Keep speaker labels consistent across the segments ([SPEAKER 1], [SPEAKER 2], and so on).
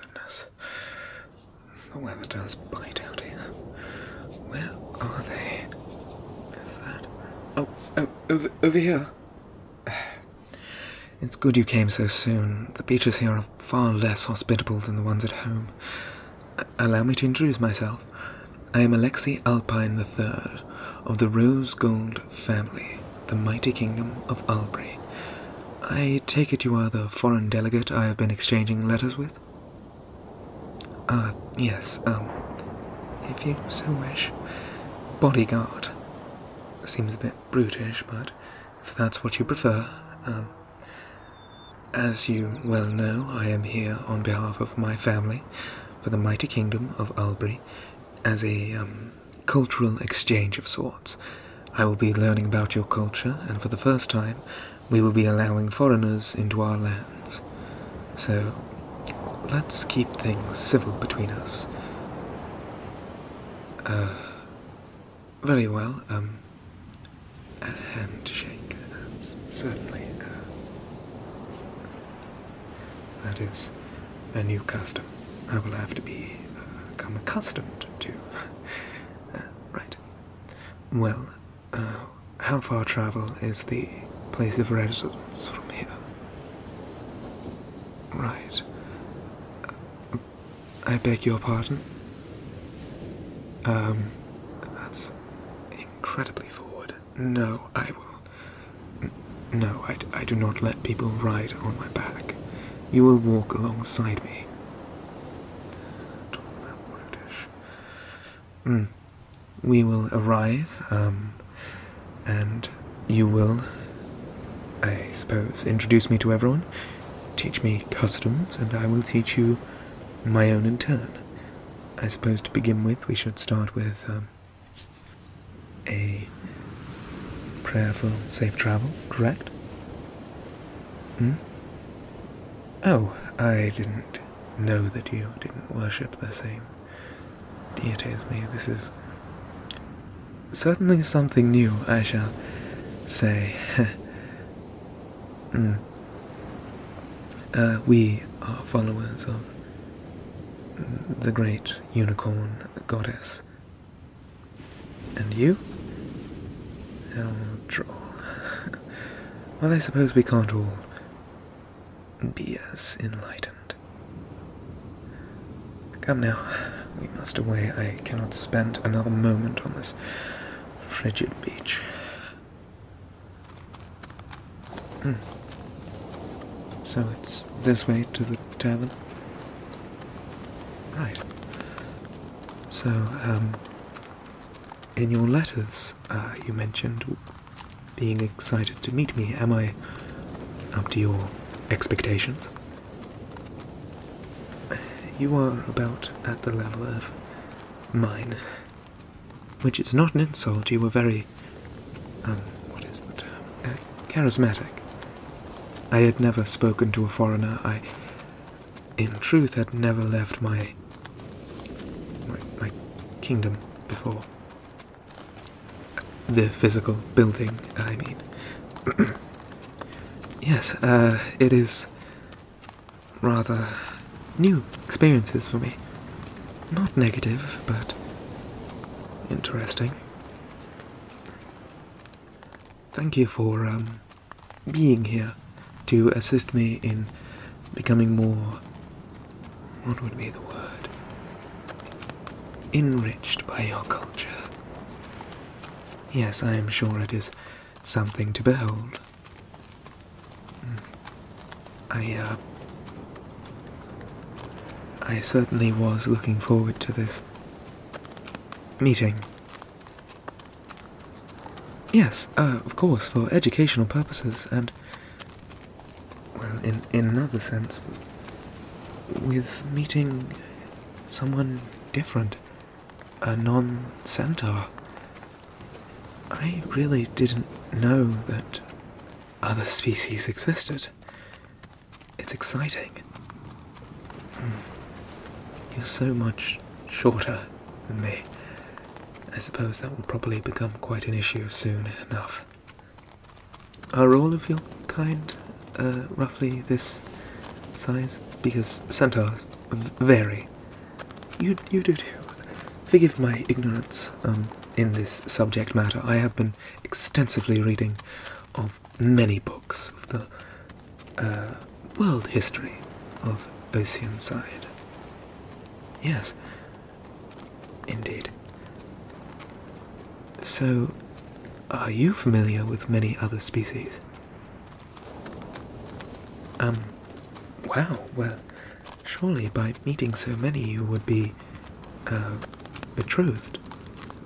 [SPEAKER 1] Goodness. The weather does bite out here. Where are they? Is that. Oh, oh over here. It's good you came so soon. The beaches here are far less hospitable than the ones at home. Allow me to introduce myself. I am Alexei Alpine the Third of the Rose Gold family, the mighty kingdom of Albury. I take it you are the foreign delegate I have been exchanging letters with? Ah, yes, um, if you so wish. Bodyguard. Seems a bit brutish, but if that's what you prefer, um, as you well know, I am here on behalf of my family for the mighty kingdom of Albury as a um, cultural exchange of sorts. I will be learning about your culture, and for the first time, we will be allowing foreigners into our lands. So, let's keep things civil between us. Uh, very well. Um, a handshake, certainly. Uh, that is a new custom. I will have to become uh, accustomed to. Uh, right. Well, uh, how far travel is the place of residence from here? Right. I beg your pardon. Um, that's incredibly forward. No, I will. No, I, I do not let people ride on my back. You will walk alongside me. Mm. We will arrive, um, and you will, I suppose, introduce me to everyone. Teach me customs, and I will teach you my own in turn. I suppose to begin with, we should start with um, a prayer for safe travel, correct? Hmm? Oh, I didn't know that you didn't worship the same Dear as This is certainly something new, I shall say. Mm. Uh, we are followers of the great unicorn goddess. And you? Oh, well, I suppose we can't all be as enlightened. Come now. We must away. I cannot spend another moment on this frigid beach. Hmm. So it's this way to the tavern? Right. So, um, in your letters, uh, you mentioned being excited to meet me. Am I up to your expectations? You are about at the level of mine, which is not an insult. You were very, um, what is the term? Uh, charismatic. I had never spoken to a foreigner. I, in truth, had never left my, my kingdom before. The physical building, I mean. Yes, uh, it is rather new experiences for me. Not negative, but interesting. Thank you for um, being here to assist me in becoming more. What would be the word? Enriched by your culture. Yes, I am sure it is something to behold. Hmm. I, uh, I certainly was looking forward to this meeting. Yes, uh, of course, for educational purposes and. Well, in, in another sense, with meeting someone different, a non centaur. I really didn't know that other species existed. It's exciting. Hmm. You're so much shorter than me. I suppose that will probably become quite an issue soon enough. Are all of your kind uh, roughly this size? Because centaurs vary. You do too. Forgive my ignorance um, in this subject matter. I have been extensively reading of many books of the uh, world history of ocean side. Yes, indeed. So, are you familiar with many other species? Um, wow, well, surely by meeting so many you would be, uh, betrothed,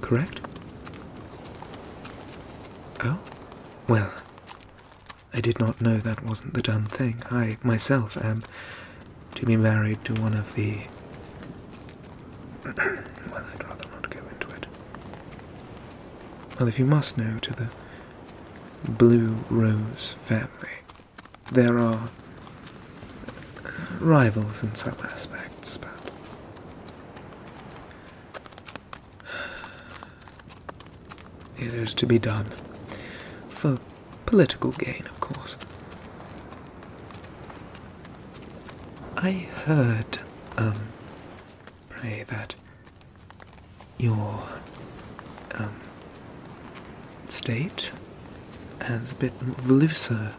[SPEAKER 1] correct? Oh? Well, I did not know that wasn't the done thing. I myself am to be married to one of the. well, I'd rather not go into it. Well, if you must know, to the Blue Rose family, there are rivals in some aspects, but. It is to be done. For Political gain, of course. I heard, um, pray that your, um, state has a bit more of a looser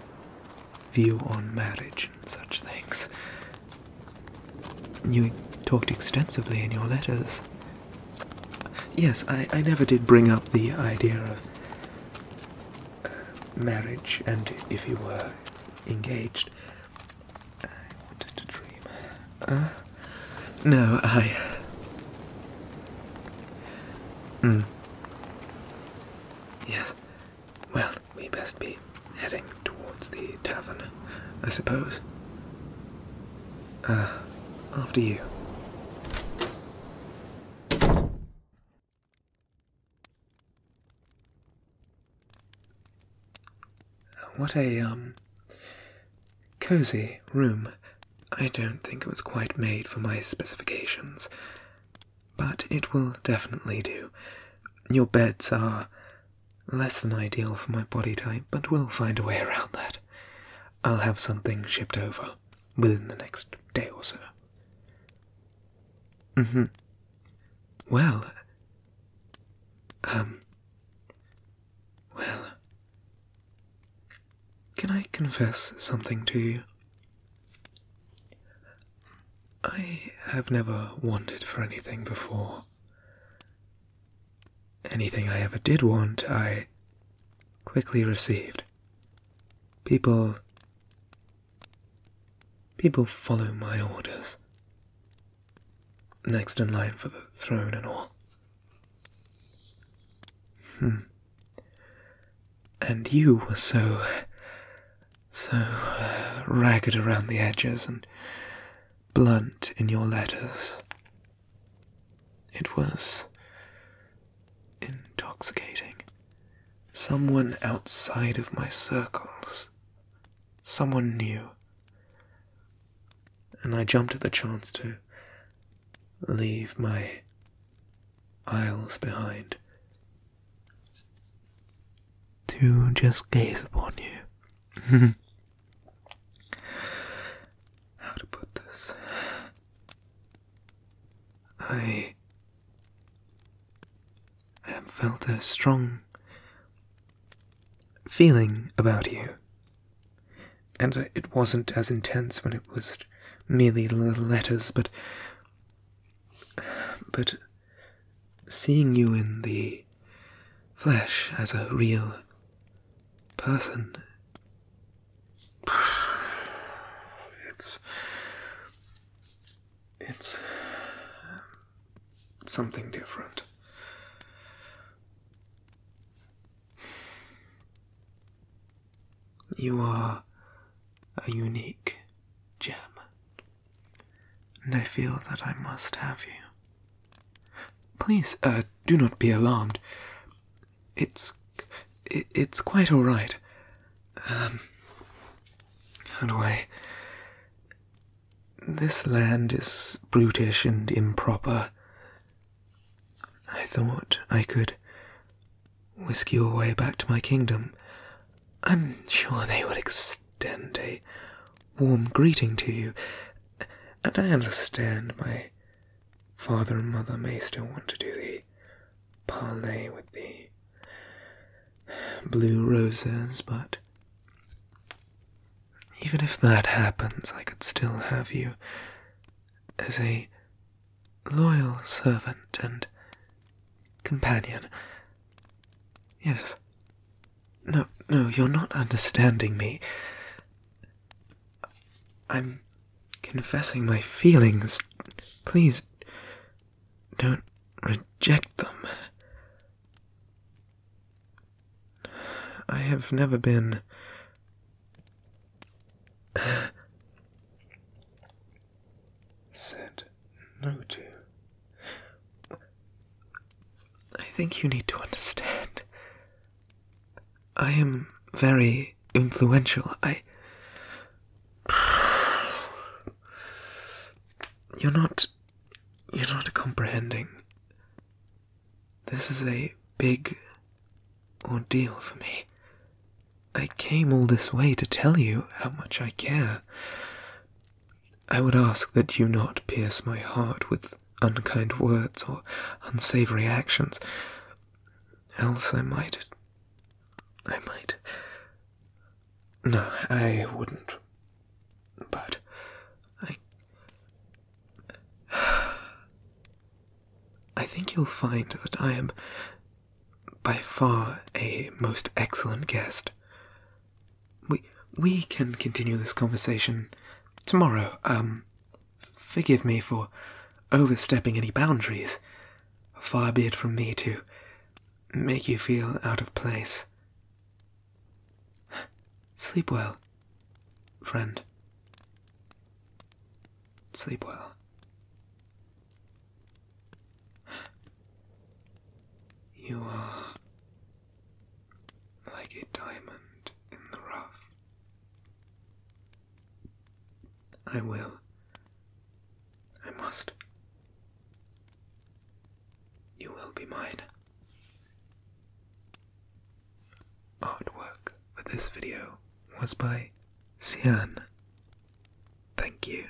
[SPEAKER 1] view on marriage and such things. You talked extensively in your letters. Yes, I, I never did bring up the idea of marriage and if you were engaged. I wanted to dream. Uh, no, I. Hmm. Yes. Well, we best be heading towards the tavern, I suppose. Uh, after you. What a, um, cozy room. I don't think it was quite made for my specifications, but it will definitely do. Your beds are less than ideal for my body type, but we'll find a way around that. I'll have something shipped over within the next day or so. Mm hmm. Well, um, well, can I confess something to you? I have never wanted for anything before. Anything I ever did want, I quickly received. People. People follow my orders. Next in line for the throne and all. Hmm. And you were so. so uh, ragged around the edges and blunt in your letters. It was intoxicating. Someone outside of my circles. Someone new. And I jumped at the chance to leave my aisles behind. To just gaze upon you. How to put this? I have felt a strong feeling about you, and it wasn't as intense when it was merely letters, but but seeing you in the flesh as a real person It's it's something different. You are a unique gem, and I feel that I must have you. Please, uh, do not be alarmed. It's it's quite all right. Um, how do I? This land is brutish and improper. I thought I could whisk you away back to my kingdom. I'm sure they would extend a warm greeting to you, and I understand my father and mother may still want to do the parley with the blue roses, but even if that happens, I could still have you as a loyal servant and companion. Yes, no, no, you're not understanding me. I'm confessing my feelings. Please don't reject them. I have never been. said no to. I think you need to understand. I am very influential. I. You're not. You're not comprehending. This is a big ordeal for me. I came all this way to tell you how much I care. I would ask that you not pierce my heart with unkind words or unsavory actions, else I might. I might. No, I wouldn't. But I. I think you'll find that I am by far a most excellent guest. We we can continue this conversation tomorrow. Um forgive me for overstepping any boundaries. Far be it from me to make you feel out of place. Sleep well, friend. Sleep well. You are like a diamond in the rough. I will. I must. You will be mine. Artwork for this video was by Cian. Thank you.